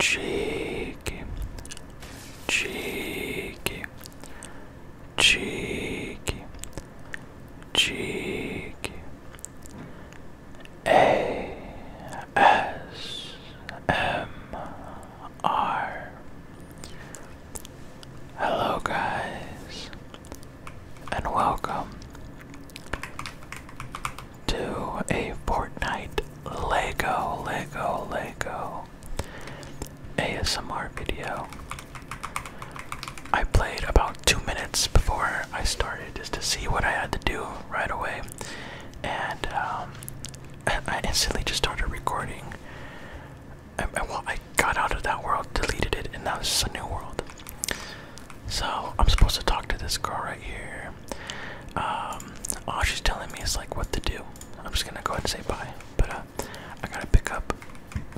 cheeky, cheeky, cheeky, cheeky, A S M R. Hello, guys, and welcome to a Fortnite Lego, Lego, Lego ASMR video. I played about two minutes before I started just to see what I had to do right away, and um, I instantly just started recording. I, well, I got out of that world, deleted it, and now this is a new world. So I'm supposed to talk to this girl right here there. Um, all she's telling me is like what to do. I'm just gonna go ahead and say bye. But uh, I gotta pick up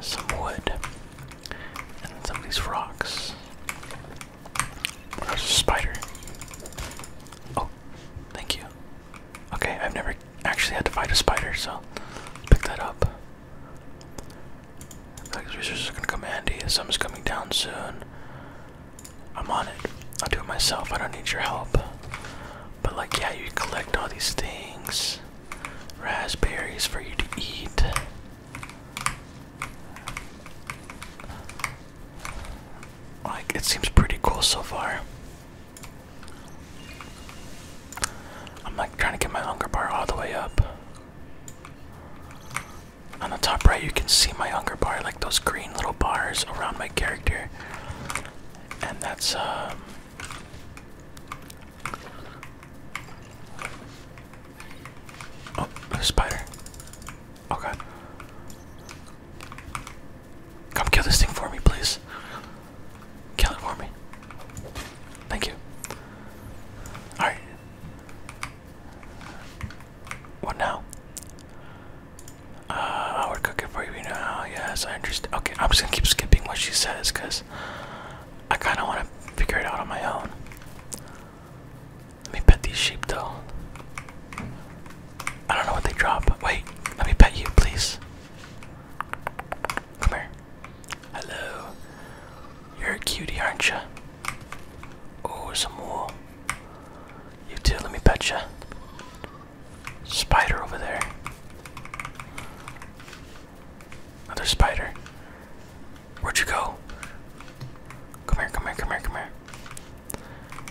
some wood and some of these rocks. there's a spider. Oh, thank you. Okay, I've never actually had to fight a spider, so pick that up. I feel like gonna come handy. Summer's coming down soon. I'm on it. I'll do it myself. I don't need your help. But like, yeah, you collect all these things, raspberries for you to eat. Like, it seems pretty cool so far. I'm like trying to get my hunger bar all the way up. On the top right, you can see my hunger bar, like those green little bars around my character. And that's, um. Oh, a spider. Oh god. Come kill this thing for me, please. Kill it for me. Thank you. Alright. What now? Uh, we're cooking for you now. Yes, I understand. Okay, I'm just gonna keep skipping what she says because I kind of want to figure it out on my own. Let me pet these sheep though. I don't know what they drop. Wait, let me pet you, please. Come here. Hello. You're a cutie, aren't you? Oh, some wool. You too, let me pet you. Spider over there. Another spider. Where'd you go? Come here, come here, come here, come here.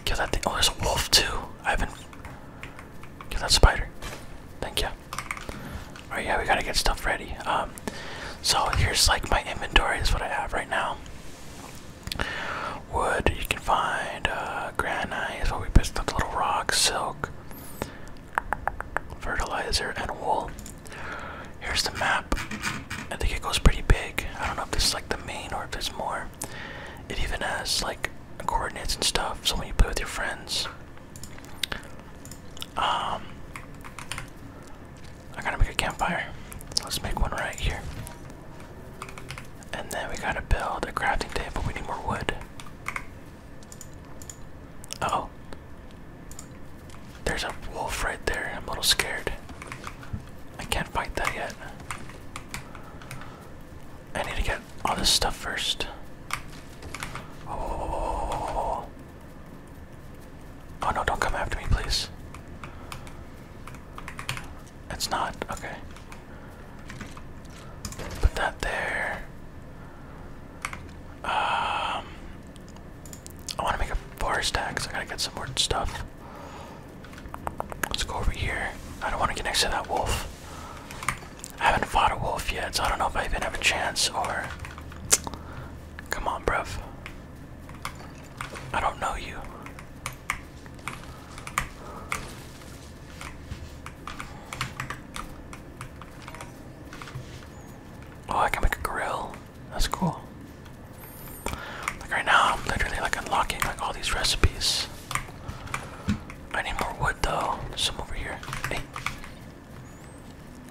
Kill that thing. Oh, there's a wolf too. I Kill that spider. Thank you. Alright, yeah, we gotta get stuff ready. Um, so here's like my inventory is what I have right now. Wood, you can find uh, granite, is we picked up, little rocks, silk, fertilizer, and wool. Here's the map. I think it goes pretty big. I don't know if this is like the main or if there's more. It even has like coordinates and stuff, so when you play with your friends. Um, I gotta make a campfire. Let's make one right here. And then we gotta build a crafting table. We need more wood. oh. There's a wolf right there. I'm a little scared. I can't fight that yet. I need to get all this stuff first. Oh. Oh no, don't come after me, please. It's not. Okay. Put that there. Um, I want to make a forest stack, so I gotta get some more stuff. Let's go over here. I don't want to get next to that wolf. I haven't fought a wolf yet, so I don't know if I even have a chance or. Come on, bruv. I don't know you. Oh, I can make a grill. That's cool. Like right now, I'm literally like unlocking like all these recipes. I need more wood though. some over here. Hey,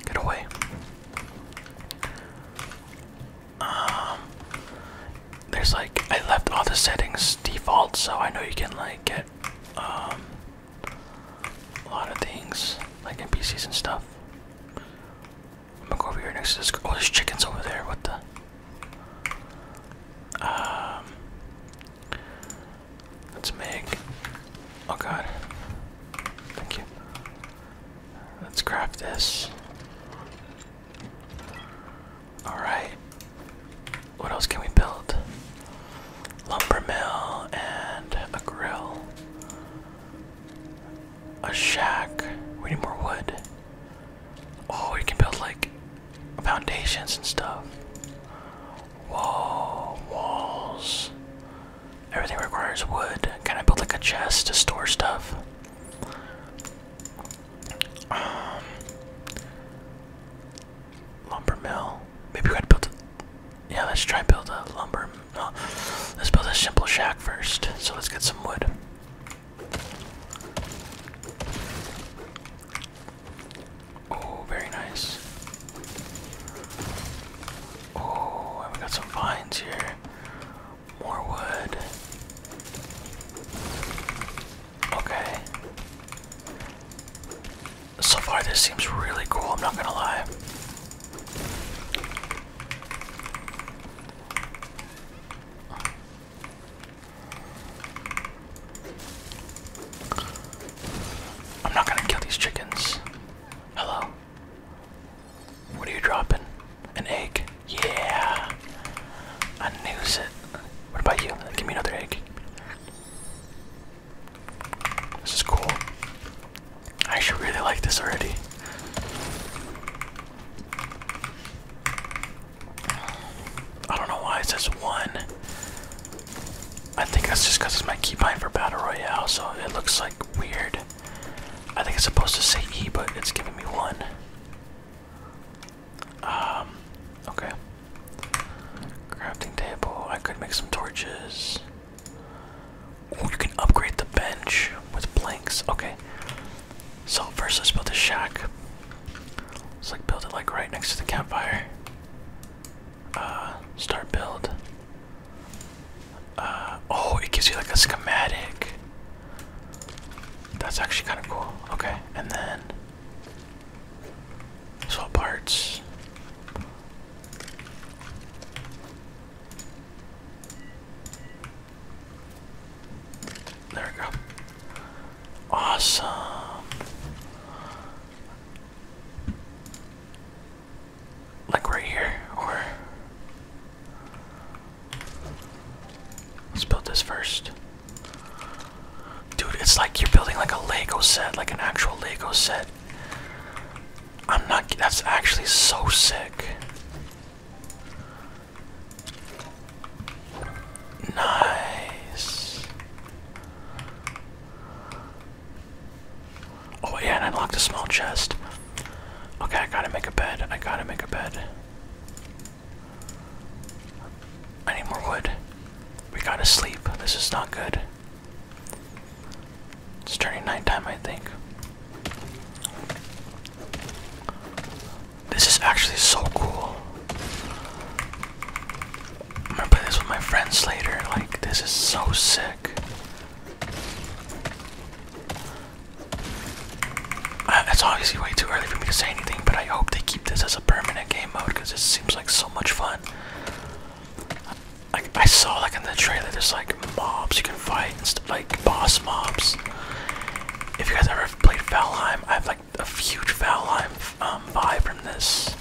get away! Um, there's like I left all the settings default, so I know you can like get um a lot of things like NPCs and stuff. I'm gonna go over here next to this. Oh, there's chickens over there. What the? Um, let's make. Oh God. Thank you. Let's grab this. Alright. What else can we build? Lumber mill and a grill. A shack. We need more wood. Oh, we can build like foundations and stuff. Whoa, walls. Everything requires wood. Can I build like a chest to store stuff? Um, lumber mill. Maybe we gotta build. yeah, let's try and build a lumber. let's build a simple shack first. So let's get some wood. Oh, very nice. Oh, we got some vines here. More wood. Okay. So far, this seems really cool, I'm not gonna lie. I'm not gonna kill these chickens. Hello. What are you dropping? An egg. Yeah. I knew it. What about you? Give me another egg. This is cool. I actually really like this already. I don't know why it says one. I think that's just because it's my keybind for Battle Royale, so it looks like weird. I think it's supposed to say E, but it's giving me one. Um, okay. Crafting table. I could make some torches. you can upgrade the bench with planks. Okay. So first let's build a shack. Let's like build it like right next to the campfire. Uh start build. Uh oh, it gives you like a schematic. That's actually kind of cool. Okay, and then swap parts. There we go. Awesome. Like right here, or Let's build this first. Dude, it's like you're building like a Lego set, like an actual Lego set. I'm not, that's actually so sick. Nice. Oh yeah, and I unlocked a small chest. Okay, I gotta make a bed. I gotta make a bed. I need more wood. We gotta sleep. This is not good. It's turning nighttime, I think. This is actually so cool. I'm gonna play this with my friends later. Like, this is so sick. Uh, it's obviously way too early for me to say anything, but I hope they keep this as a permanent game mode because it seems like so much fun. Like I saw, like in the trailer, there's like mobs you can fight, and stuff, like boss mobs. If you guys ever played Valheim, I have like a huge Valheim um, vibe from this.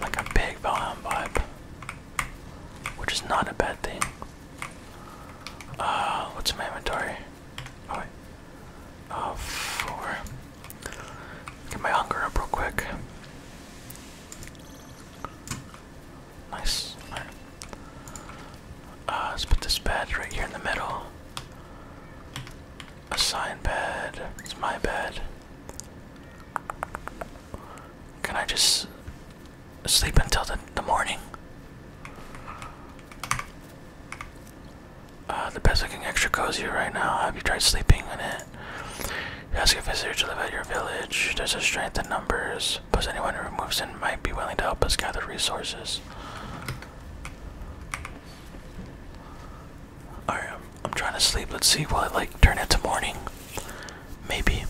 Like a big volume vibe. Which is not a bad thing. Uh, what's my inventory? Oh, wait. Uh, Get my hunger up real quick. Nice. Right. Uh, let's put this bed right here in the middle. A sign bed. It's my bed. Can I just sleep until the, the morning? Uh, the bed's looking extra cozy right now. Have you tried sleeping in it? You ask a visitor to live at your village. There's a strength in numbers. Plus, anyone who moves in might be willing to help us gather resources. I'm I'm trying to sleep. Let's see. Will it like turn into morning? Maybe.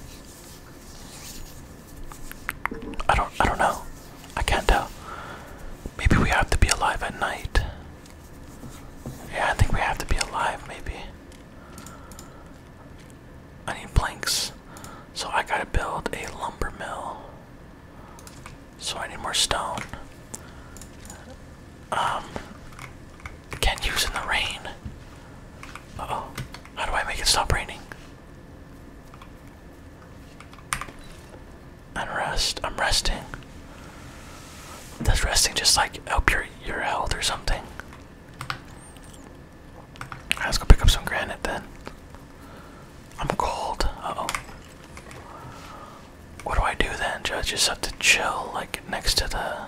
I don't. I don't know. I can't tell. Maybe we have to be alive at night. Yeah, I think we have to be alive. Maybe. I need planks, so I gotta build a lumber mill. So I need more stone. Um, can't use in the rain. oh. How do I make it stop raining? And rest. I'm resting. Does resting just like help your your health or something? Right, let's go pick up some granite then. I'm cold. oh. What do I do then? just have to chill like next to the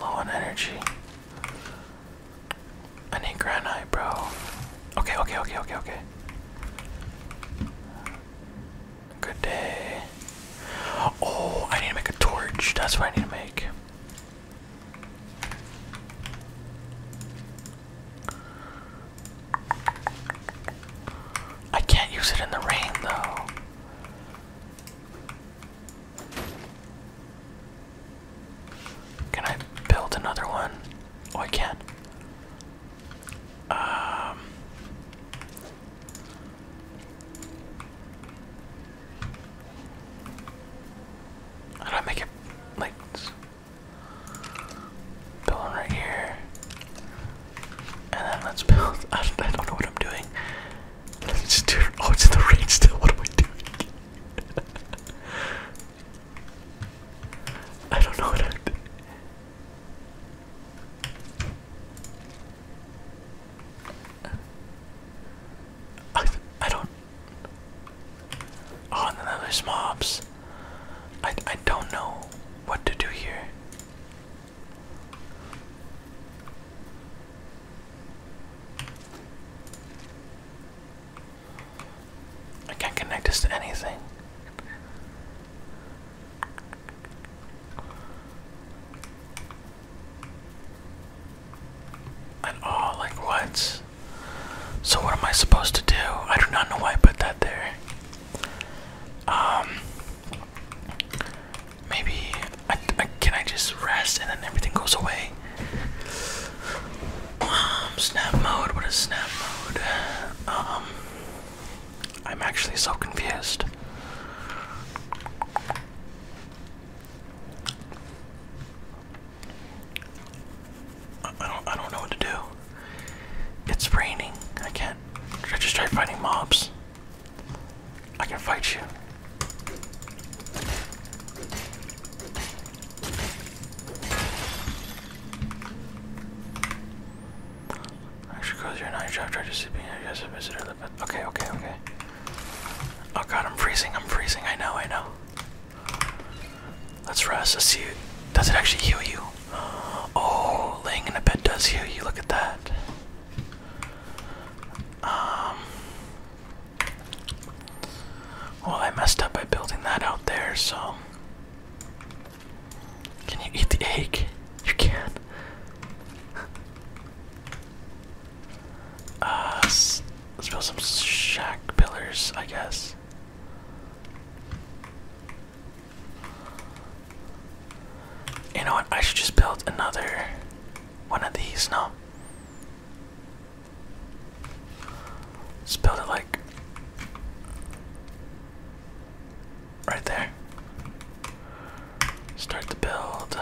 Low on energy. I need granite, bro. Okay, okay, okay, okay, okay. Good day. Oh, I need to make a torch. That's what I need to make. I can't use it in the rain though. Can I build another one? Oh, I can. Um, how do I make it like build right here? And then let's build. I don't, know what I'm doing. Let's just do. Oh, it's in the rain still. What am I doing? I don't know what I'm doing. I, I don't. Oh, and then there's mobs. I, I don't know what to do here. I can't connect this to anything. At all, oh, like what? So, what am I supposed to do? I do not know why I put that there. Um, maybe I, can I just rest and then everything goes away? Um, snap mode. What is snap mode? Um, I'm actually so confused. I don't. I don't know what to do. It's raining. I can't. I just tried fighting mobs. I can fight you. Actually, cause your night job tried to sleep in. I guess I visited the bed. Okay, okay, okay. Oh god, I'm freezing. I'm freezing. I know, I know. Let's rest. Let's see. Does it actually heal you? Oh, laying in a bed does heal you. Look at that. Um, well, I messed up by building that out there, so. Can you eat the egg? You can. uh, let's build some shack pillars, I guess. You know what? I should just build another one of these. No. let build it like right there. Start the build.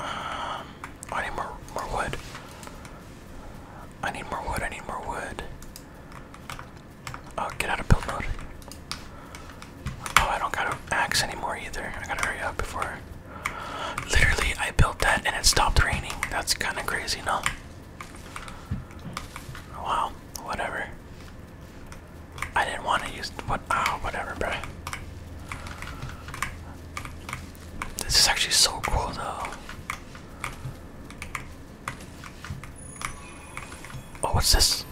Um, I need more more wood. I need more wood. I need more wood. Oh, get out of build mode. Oh, I don't got an axe anymore either. I gotta hurry up before. Literally, I built that and it stopped raining. That's kind of crazy, no? Wow. Whatever. I didn't want to use what. Oh, whatever, bro. This is actually so cool, though. Oh, what's this?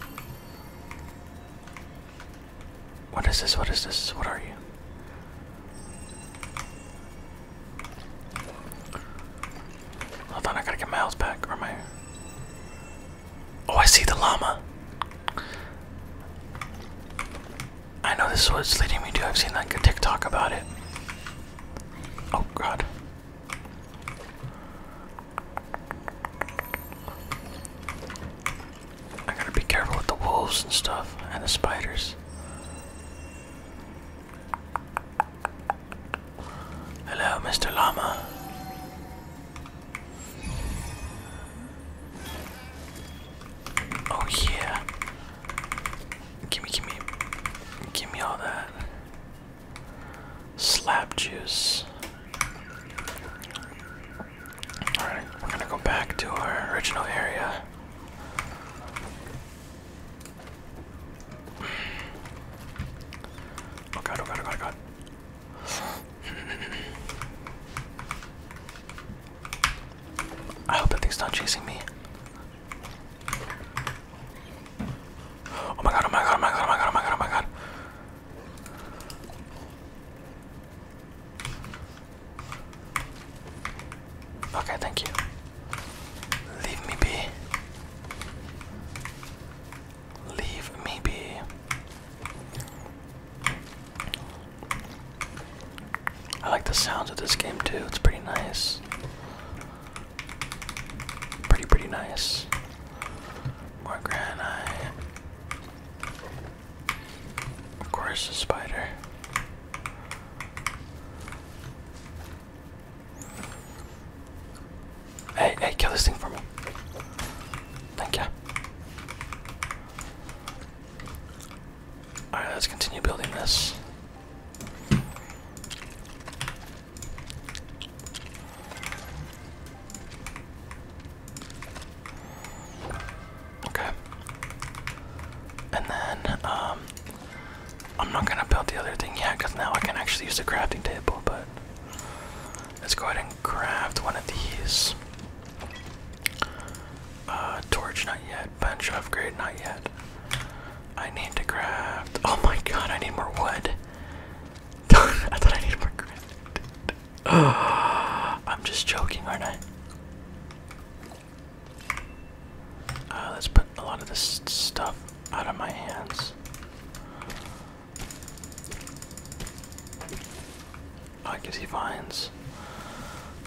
What is this? What is this? What are you? Hold on, I gotta get my back, or my Oh, I see the llama. I know this is what's leading me to. I've seen like a TikTok about it. Oh god. I gotta be careful with the wolves and stuff and the spiders. Hello, Mr. Llama. Oh yeah. Gimme, gimme, gimme all that. Slap juice. Alright, we're gonna go back to our original area. Oh god, oh god, oh god, oh god. I hope that thing's not chasing me. Oh my god, oh my god, oh my god, oh my god, oh my god, oh my god. Okay, thank you. Leave me be. Leave me be. I like the sounds of this game too, it's pretty nice. Pretty, pretty nice. More granite. Of course, a spider. Hey, hey, kill this thing for me. Thank you. Alright, let's continue building this. Okay. And then, um, I'm not gonna build the other thing yet because now I can actually use the crafting table, but Let's go ahead and craft one of these. Uh, torch, not yet. Bench upgrade, not yet. I need to craft. Oh my god, I need more wood. I thought I needed more granite. I'm just joking, aren't I? Uh, let's put a lot of this stuff out of my hands. I guess he vines.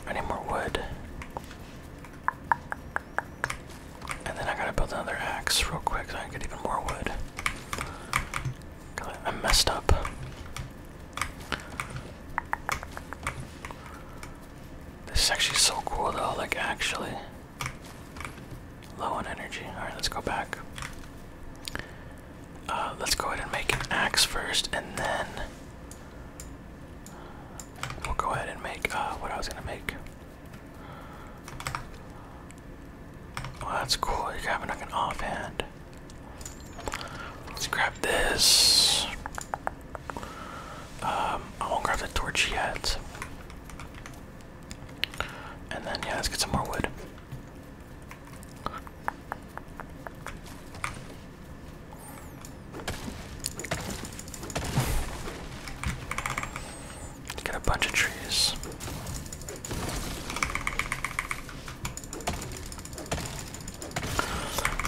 I need more wood. And then I gotta build another axe real quick so I can get even more wood. I messed up. This is actually so cool though, like actually. Low on energy. Alright, let's go back. Uh, let's go ahead and make an axe first, and then we'll go ahead and make uh, what I was gonna make. Oh, that's cool. You're having like an offhand. Let's grab this. Um, I won't grab the torch yet. And then, yeah, let's get some more wood. Get a bunch of trees.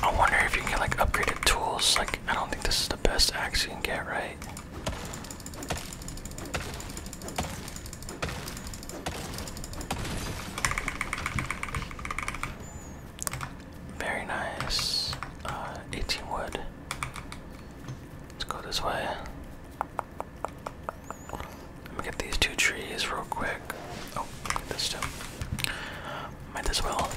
I wonder if you can get like upgraded tools. Like, I don't think this is the best axe you can get, right? Very nice. Uh, 18 wood. Let's go this way. Let me get these two trees real quick. Oh, this too. Might as well.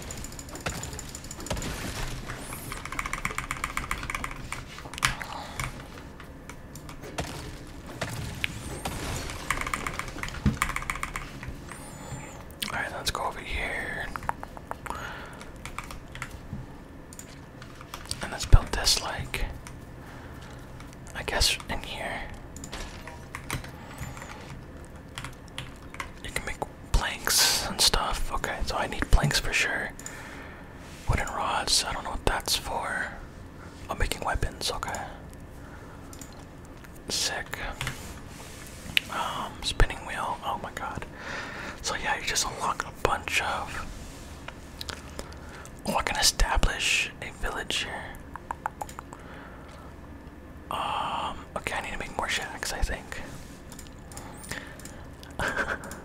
Alright, let's go over here. And let's build this like I guess in here. You can make planks and stuff. Okay, so I need planks for sure. Wooden rods, I don't know what that's for. I'm making weapons, okay. Sick. Um, spinning wheel, oh my god. So yeah, you just unlock a bunch of... Oh, I can establish a village here. Um, okay, I need to make more shacks, I think.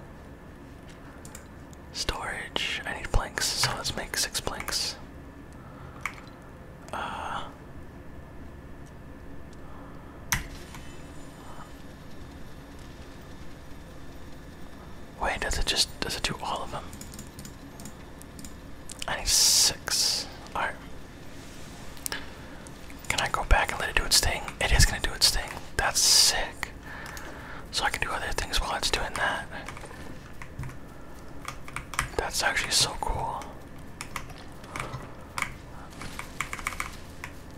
Storage. I need planks, so let's make six planks. Uh, wait, does it just does it do all of them? I need six. Alright. Can I go back and let it do its thing? It is gonna do its thing. That's sick so I can do other things while it's doing that. That's actually so cool.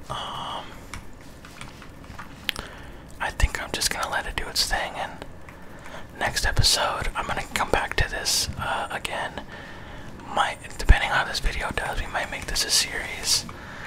Um, I think I'm just gonna let it do its thing, and next episode I'm gonna come back to this uh, again. Might, depending on how this video does, we might make this a series.